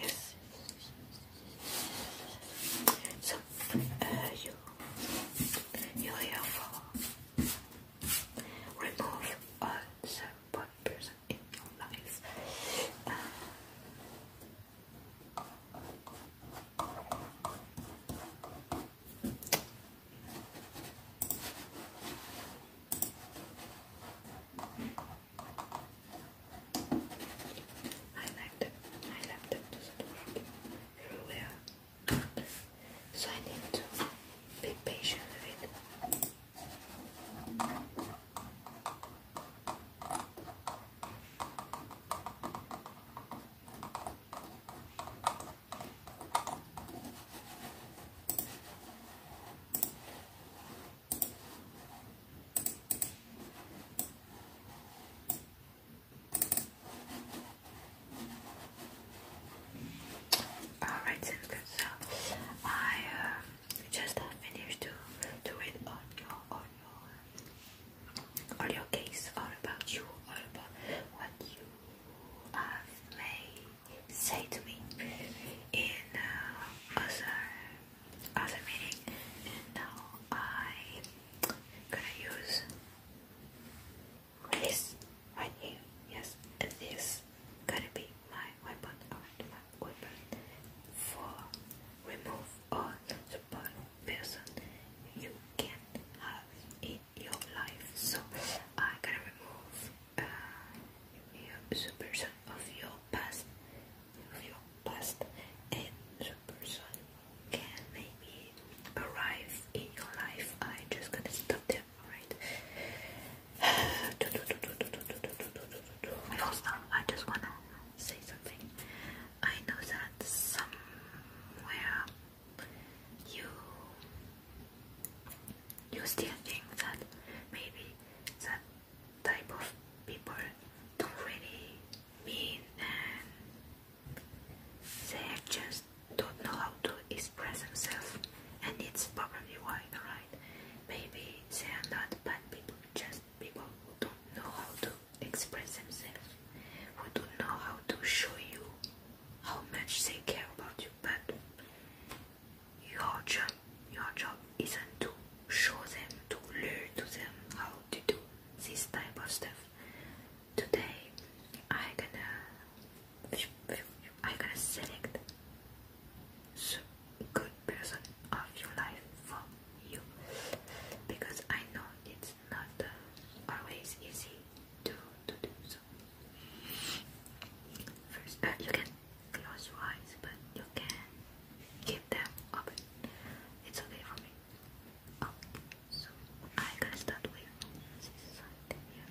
Yes. So uh, you you have for remove all the bad in your life. I like that. I like that does everywhere. So I need to be patient with it. Alright, sounds So uh, I uh, just finished to to read on your on your on case, about you, about what you have made, say to me in uh, other other meaning. now i gonna use this Yes, this gonna be my weapon my weapon for remove all the bad person you can have in your life. So I'm gonna remove uh, your of your past, of your past, and superson can maybe arrive in your life. I just gonna stop them, alright? And also, um, I just wanna say something. I know that somewhere you you still think that maybe that type of people don't really mean and they just don't know how to express themselves and it's probably why, right? Maybe they are not bad people, just people who don't know how to express themselves, who don't know how to show you how much they care about you, but your job, your job isn't to show them, to learn to them how to do this type of stuff. Today, I gonna, I gonna select the good person of your life from you because I know it's not always easy to, to do so. First, uh, you can close your eyes, but you can keep them open. It's okay for me. Okay, oh, so I'm to start with this side here.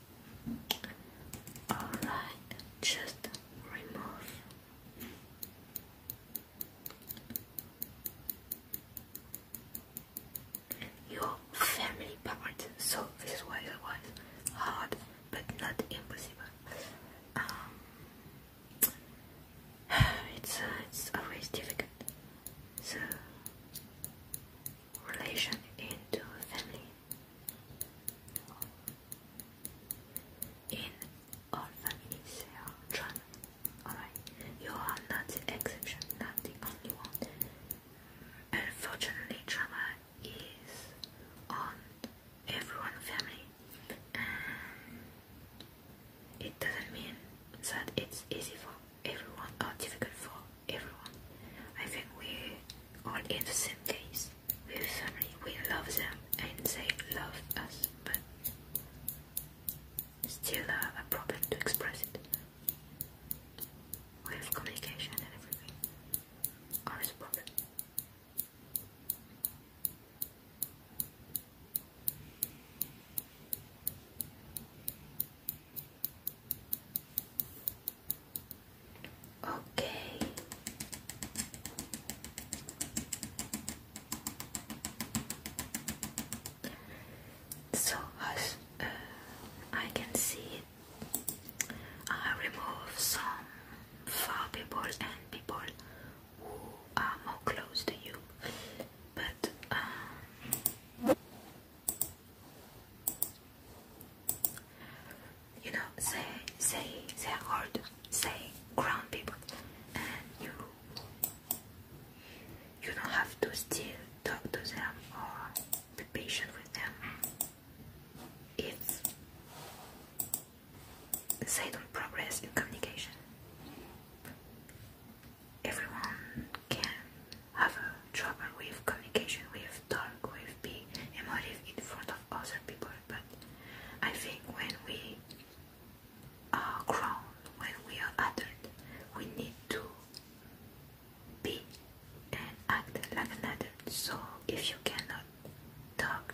Alright, just remove. Your family part, so this was, was hard but not impossible. Um, uh, it's, always difficult. The relation into family in all families they are drawn. Alright, you are not the exception, not the only one. Unfortunately, drama is on everyone family, and it doesn't mean that it's easy for everyone or difficult for everyone. I think we all in the same case. We family, we love them and they love us, but still a, a problem to express it. We have communication and everything. Always a problem. Okay. So as uh, I can see, I uh, remove some far people and people who are more close to you, but uh, you know, they they they are hard, they grown people, and you you don't have to still talk to them or be patient with them It's they don't progress in communication. Everyone can have trouble with communication with talk with being emotive in front of other people but I think when we are grown when we are adult we need to be and act like an adult so if you cannot talk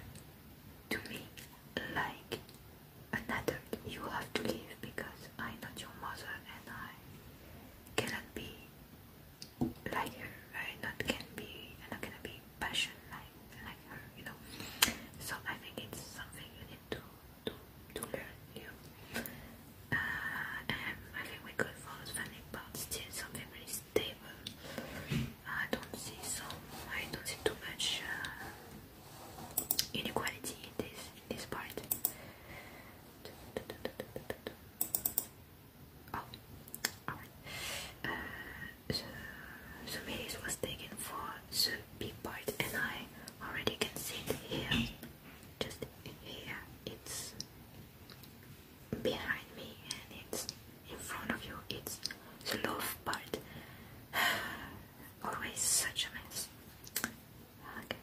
to me like an adult you have to leave because I'm not your mother and I cannot be like her. I'm not can be. not gonna be passionate like like her. You know. So I think it's something you need to to to learn. You. Uh, I think we could follow something, but still something really stable. I don't see so. I don't see too much uh, inequality in this in this part. So, oh, alright. Uh, was taken for the big part, and I already can see it here. Just here, it's behind me, and it's in front of you. It's the love part. Always such a mess. Okay.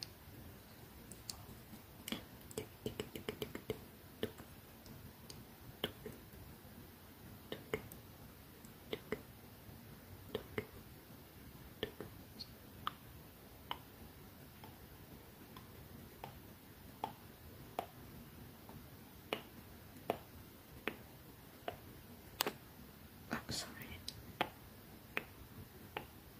I'm oh, sorry.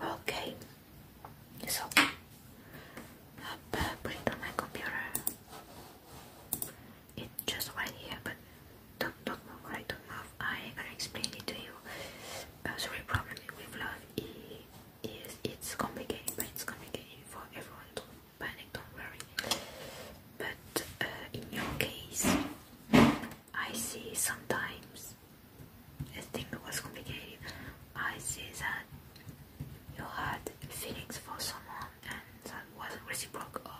Okay, so I'll uh, put it on my computer. It's just right here, but don't don't move, right? Don't move. I'm gonna explain it to you. Uh, sorry, problem with love is it's complicated, but it's complicated for everyone. Don't panic, don't worry. But uh, in your case, I see sometimes I think it was complicated. I see that you had feelings for someone and that wasn't reciprocal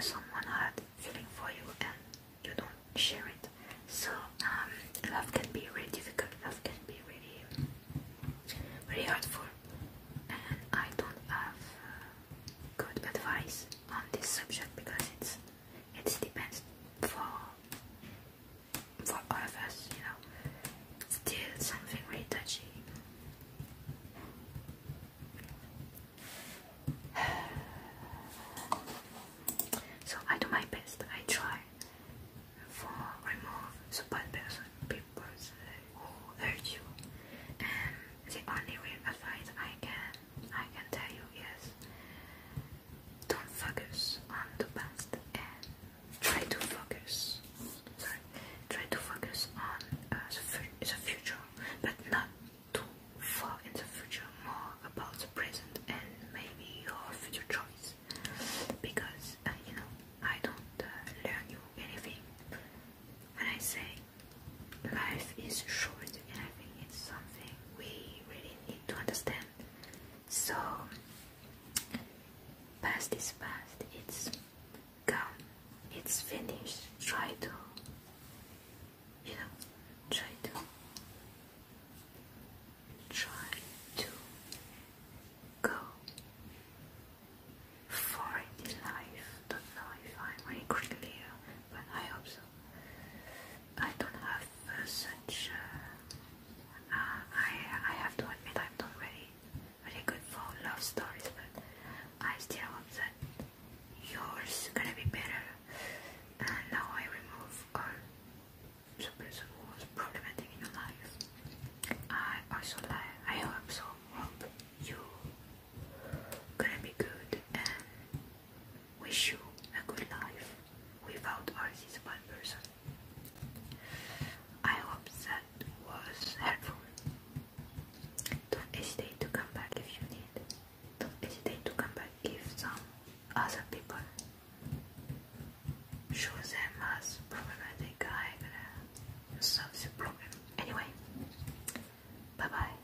someone had feeling for you and you don't share it. So um, love can be really difficult. Love can be really, hard for. And I don't have uh, good advice on this subject because it's it depends for for all of us, you know. Still something very touchy. So I do my best. I try for remove the bad person, people who hurt you, and the only real advice I can I can tell you is don't focus on the past and try to focus. Sorry, try to focus on uh, the, future, but not too far in the future. More about the present and maybe your future choice, because uh, you know I don't uh, learn you anything when I say life is short, and I think it's something we really need to understand. So Past is past, it's gone, it's finished. Try to, you know, try to, try to go for it life. Don't know if I'm very clear, but I hope so. I don't have uh, such. Uh, I I have to admit I'm not ready very good for love stories, but I still hope that yours gonna be better. And now I remove all the person who was problematic in your life. I also like. I hope so. Hope you gonna be good and wish you a good life without all these bad person. I hope that was helpful. Don't hesitate to come back if you need. Don't hesitate to come back if some other people show them as problematic I gonna solve the problem. Anyway, bye bye.